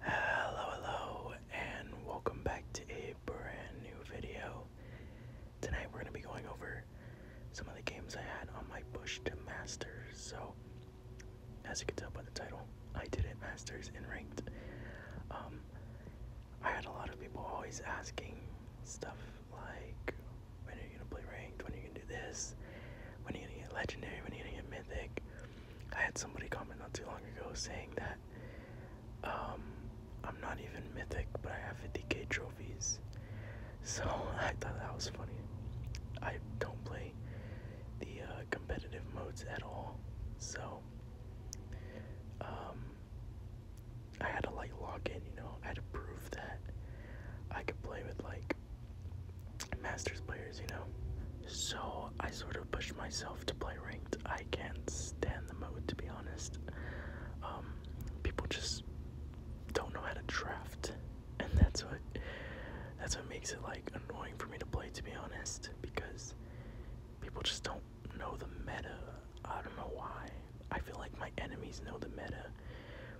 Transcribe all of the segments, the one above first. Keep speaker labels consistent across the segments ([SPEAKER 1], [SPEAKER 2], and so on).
[SPEAKER 1] Hello, hello, and welcome back to a brand new video. Tonight we're going to be going over some of the games I had on my push to Masters. So, as you can tell by the title, I did it Masters in Ranked. Um, I had a lot of people always asking stuff like, when are you going to play Ranked? When are you going to do this? When are you get Legendary? When are you going to get Mythic? I had somebody comment not too long ago saying that um, I'm not even mythic, but I have 50k trophies. So I thought that was funny. I don't play the uh, competitive modes at all. So um, I had to like log in, you know, I had to prove that I could play with like masters players, you know. So I sort of pushed myself to play ranked. I can't stand the mode to be honest. Um, people just don't know how to draft, and that's what that's what makes it like annoying for me to play to be honest because people just don't know the meta. I don't know why. I feel like my enemies know the meta,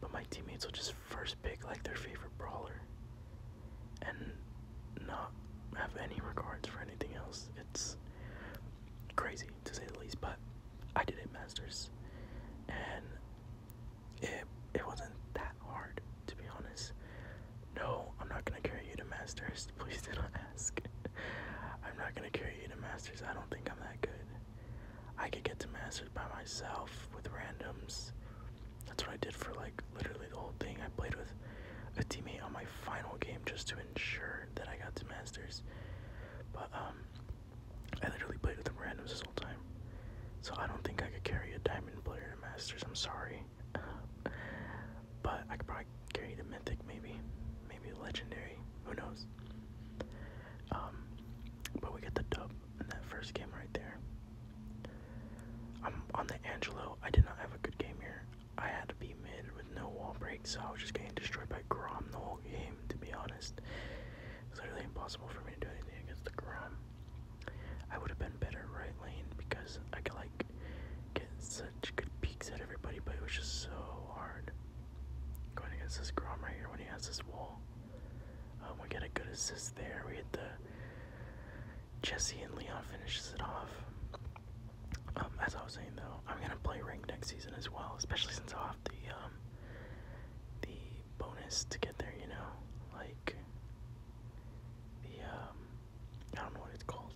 [SPEAKER 1] but my teammates will just first pick like their favorite brawler and not have any regards for anything else. It's crazy to say the least, but I did it masters and it it wasn't that hard to be honest. No, I'm not gonna carry you to masters. Please do not ask. I'm not gonna carry you to masters. I don't think I'm that good. I could get to masters by myself with randoms that's what I did for like literally the whole thing. I played with a teammate on my final game just to ensure that I got to Masters. But um I literally played with them randoms this whole time. So I don't think I could carry a diamond player to Masters, I'm sorry. but I could probably carry the mythic maybe. Maybe legendary. Who knows? Um but we get the dub in that first game right there. I'm on the Angelo. I did not have a good game here. I had to be mid with no wall break, so I was just getting destroyed by Grom the whole game, to be honest. It's literally impossible for me to do anything against the Grom. I would have been better right lane because I could like get such good peeks at everybody, but it was just so hard. Going against this Grom right here when he has this wall. Um, we get a good assist there. We get the Jesse and Leon finishes it off. Um, as I was saying though, I'm gonna play rank next season as well, especially since I'll have the um, the bonus to get there. You know, like the I don't know what it's called,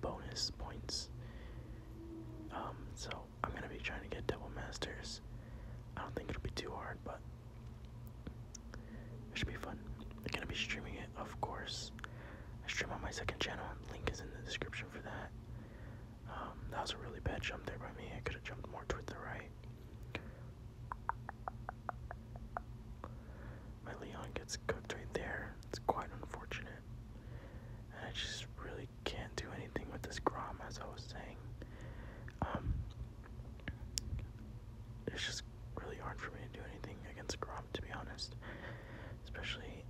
[SPEAKER 1] bonus points. so I'm gonna be trying to get double masters. I don't think it'll be too hard, but it should be fun. I'm gonna be streaming it, of course. I stream on my second channel. Link is in the description for that. Um, that was a really bad jump there by me. I could have jumped more toward the right. My Leon gets cooked right there. It's quite unfortunate. And I just really can't do anything with this Grom, as I was saying. Um, it's just really hard for me to do anything against Grom, to be honest. Especially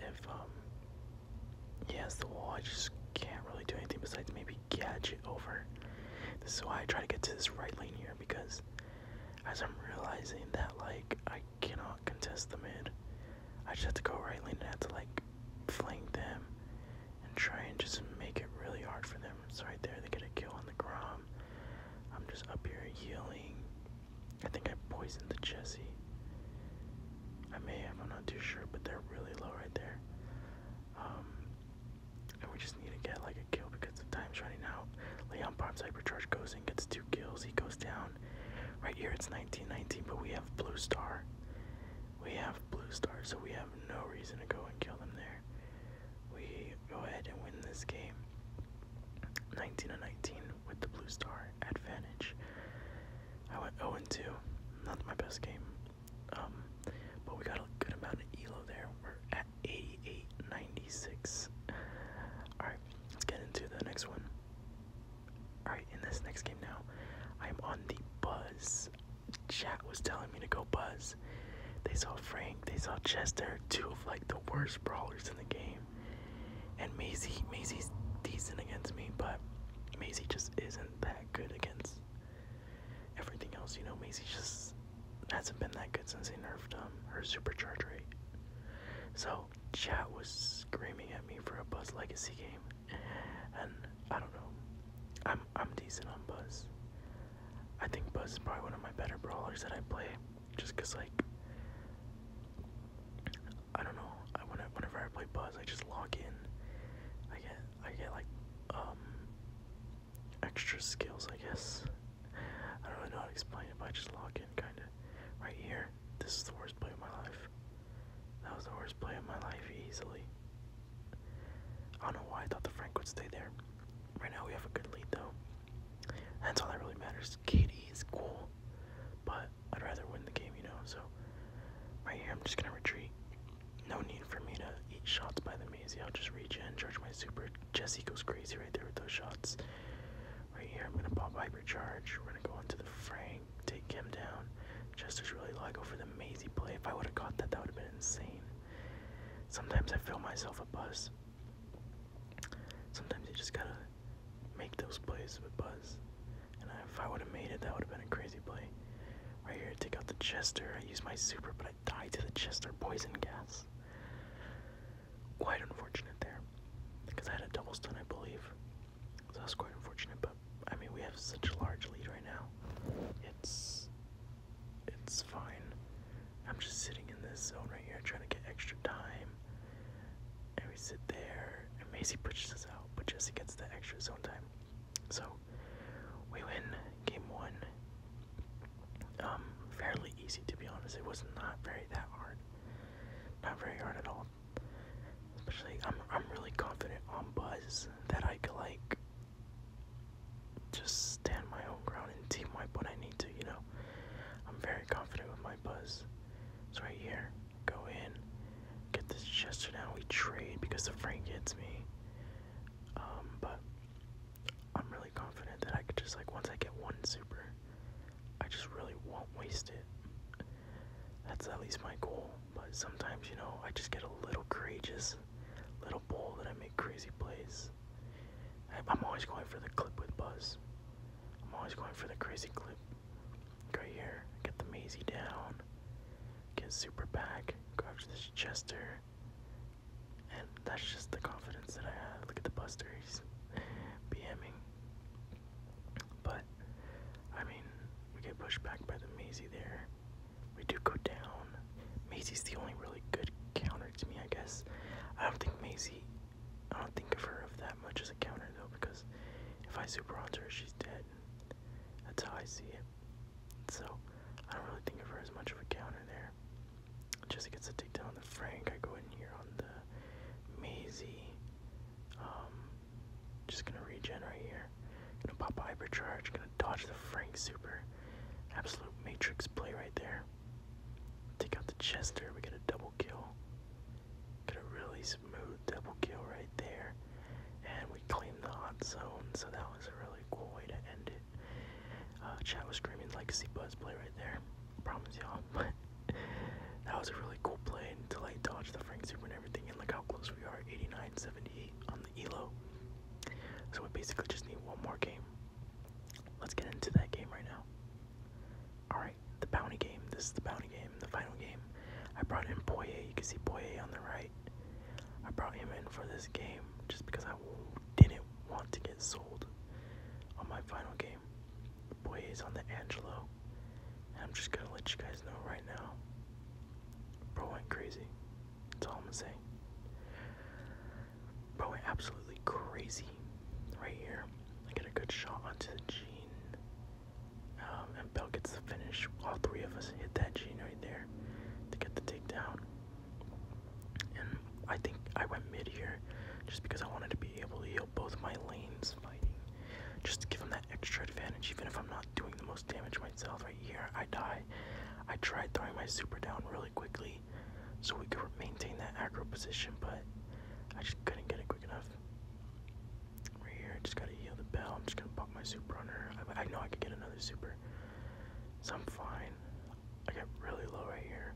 [SPEAKER 1] if um, he has the wall, I just can't really do anything besides maybe gadget over. This is why I try to get to this right lane here because as I'm realizing that like I cannot contest the mid, I just have to go right lane and I have to like flank them and try and just make it really hard for them. It's right there. They get a kill on the Grom. I'm just up here healing. I think I poisoned the Jesse. I may have. I'm not too sure, but they're really low right there. Um, and we just need to get like a kill because time's running out. Leon Bob's hypercharge goes and gets two kills. He goes down. Right here it's 1919, but we have Blue Star. We have blue stars, so we have no reason to go and kill them there. We go ahead and win this game. 19 to 19 with the blue star advantage. I went 0 and 2. Not my best game. Um, but we got a good amount of elo there. We're at 88.96. Alright, let's get into the next one. Alright, in this next game now, I'm on the buzz. Chat was telling me to go buzz. They saw Frank, they saw Chester, two of like the worst brawlers in the game. And Maisie, Maisie's decent against me, but Maisie just isn't that good against everything else. You know, Maisie just hasn't been that good since they nerfed um, her supercharge rate. So, chat was screaming at me for a Buzz Legacy game and I don't know. I'm I'm decent on Buzz. I think Buzz is probably one of my better brawlers that I play, just cause like I don't know. I whenever I play Buzz, I just log in. I get I get like um extra skills, I guess. I don't really know how to explain it, but I just log in kind of right here. This is the worst play of my life. That was the worst play of my life easily. I don't know why I thought the Frank would stay there. Right now we have a good lead though. That's all that really matters. Katie is cool, but I'd rather win the game, you know. So right here, I'm just gonna retreat. No need for me to eat shots by the maze. I'll just reach in, charge my super. Jesse goes crazy right there with those shots. Right here, I'm gonna pop hypercharge. We're gonna go into the Frank take him down. Chester's really like over the Maisie play. If I would have caught that, that would have been insane. Sometimes I feel myself a buzz. Sometimes you just gotta make those plays with buzz. And if I would have made it, that would have been a crazy play. Right here, take out the Chester. I use my super, but I die to the Chester poison gas. Quite unfortunate there, because I had a double stun, I believe. So that's quite unfortunate, but I mean, we have such a large lead right now. It's. It's fine. I'm just sitting in this zone right here trying to get extra time. And we sit there, and Macy pushes us out, but Jesse gets the extra zone time. So, we win game one. Um, fairly easy to be honest. It was not very that hard. Not very hard at all. Um, especially, I'm I'm really confident on Buzz that I could like just stand my own ground and team wipe when I need to. You know, I'm very confident with my Buzz. It's right here. Go in, get this gesture now. We trade because the frame hits me. Um, but I'm really confident that I could just like once I get one super, I just really won't waste it. That's at least my goal. But sometimes, you know, I just get a little courageous, little bold, and I make crazy plays. I'm always going for the clip with Buzz. I'm always going for the crazy clip. right here, get the Maisie down, get super back, go after this Chester. And that's just the confidence that I have. Look at the Buster, BMing. But I mean, we get pushed back by the Maisie there. We do go down. Maisie's the only really good counter to me, I guess. I don't think Maisie. I don't think of her of that much as a counter though, because if I super on her, she's dead. That's how I see it. So I don't really think of her as much of a counter there. Just gets a takedown on the Frank. I go in here on the Maisie. Um, just gonna regen right here. Gonna pop hypercharge. Gonna dodge the Frank super. Absolute matrix play right there. Take out the Chester. We get a double kill. Get a really smooth double kill right there. And we claim the hot zone. So that was a really cool way to end it. Uh, chat was screaming legacy buzz play right there. I promise y'all. that was a really cool play until I dodged the Frank Super and everything, and look how close we are 89 78 on the ELO. So we basically just need one more game. Let's get into that game right now. Alright, the bounty game. This is the bounty game, the final game. I brought in Boye. You can see Boye on the right. I brought him in for this game just because I didn't want to get sold on my final game. Boy Boyes on the Angelo. I'm just gonna let you guys know right now. Bro went crazy. That's all I'm gonna say. Bro went absolutely crazy right here. I get a good shot onto the Gene. Um, and Bell gets the finish. All three of us hit that Gene right there to get the takedown. And I think I went mid here just because I wanted to be able to heal both of my lanes fighting just to give him that extra advantage, even if I'm not doing the most damage myself right here, I die. I tried throwing my super down really quickly so we could maintain that aggro position, but I just couldn't get it quick enough. Right here, I just gotta heal the bell. I'm just gonna pop my super on her. I, know I could get another super, so I'm fine. I got really low right here.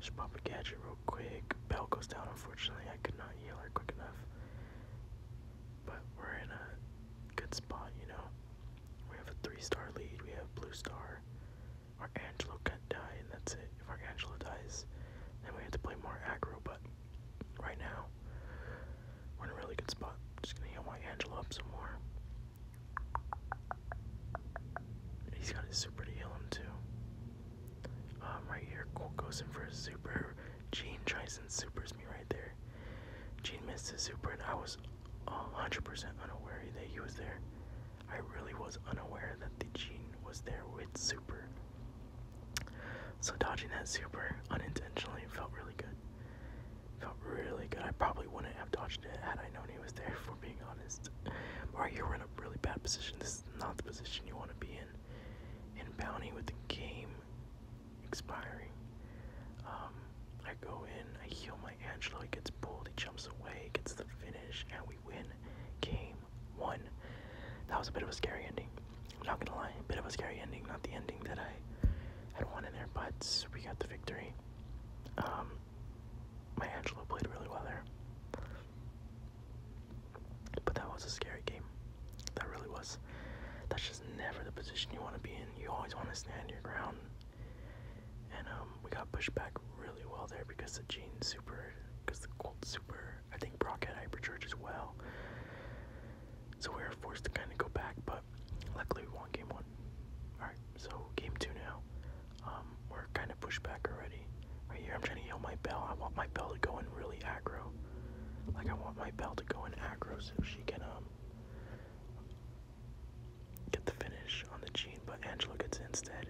[SPEAKER 1] Just pop a gadget real quick. Bell goes down, unfortunately. I could not heal her quick enough. But we're in a good spot, you know? We have a three star lead. We have Blue Star. Our Angelo can die, and that's it. If our Angelo dies, then we have to play more aggro. But right now, we're in a really good spot. Just gonna heal my Angelo up some more. He's got his super to heal him, too. Um, right here, Colt goes in for a super. Gene tries and supers me right there. Gene misses his super, and I was 100% unaware that he was there. I really was unaware that the Gene was there with super. So dodging that super unintentionally felt really good. Felt really good. I probably wouldn't have dodged it had I known he was there, For being honest. Right here, we're in a really bad position. This not the position you want to be in. And bounty with the game expiring. Um, I go in, I heal my Angelo, he gets pulled, he jumps away, gets the finish, and we win game one. That was a bit of a scary ending. I'm not gonna lie, a bit of a scary ending, not the ending that I had wanted there, but we got the victory. Um, my Angelo played really well there. But that was a scary game. That really was. That's just never the position you want to be in. You always want to stand your ground. And um, we got pushed back really well there because the Gene super, because the Colt super, I think Brock had hypercharge as well. So we were forced to kind of go back, but luckily we won game one. Alright, so game two now. Um, we're kind of pushed back already. Right here, I'm trying to heal my bell. I want my bell to go in really aggro. Like, I want my bell to go in aggro so she can, um, get the finish on the gene. but Angela gets instead.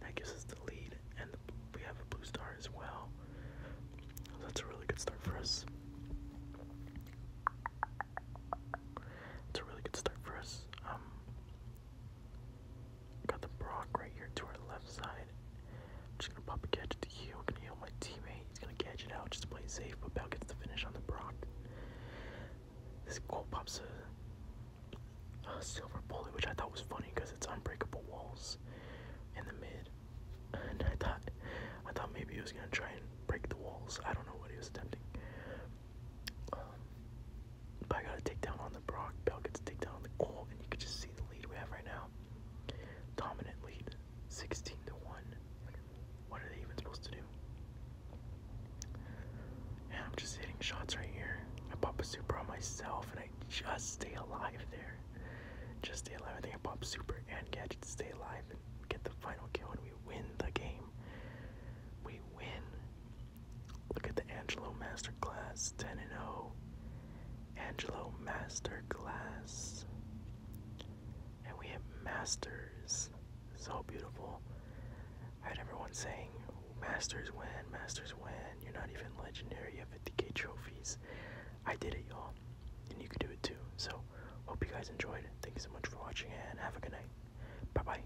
[SPEAKER 1] That gives us the lead, and we have a blue star as well. that's a really good start for us. It's a really good start for us. Um, Got the Brock right here to our left side. I'm just gonna pop a catch to heal. Gonna heal my teammate. He's gonna catch it out just play safe, but Bell gets the finish on the Brock. This goal pops a, a silver bullet, which I thought was funny because it's unbreakable walls in the mid. And I thought I thought maybe he was gonna try and break the walls. I don't know what he was attempting. Um, I got a takedown on the Brock. Bell a takedown on the goal, and you can just see the lead we have right now. Dominant lead, 16 to 1. What are they even supposed to do? And I'm just hitting shots right here. I pop a super on myself, and I just stay alive there. Just stay alive. I think I pop super and gadget to stay alive and get the final kill, and we win the game. We win. Look at the Angelo Masterclass 10 and 0. Angelo Masterclass. And we have Masters. So beautiful. I had everyone saying, Masters win, Masters win. You're not even legendary. You have 50k trophies. I did it, y'all. And you can do it too. So, hope you guys enjoyed. Thank you so much for watching and have a good night. Bye bye.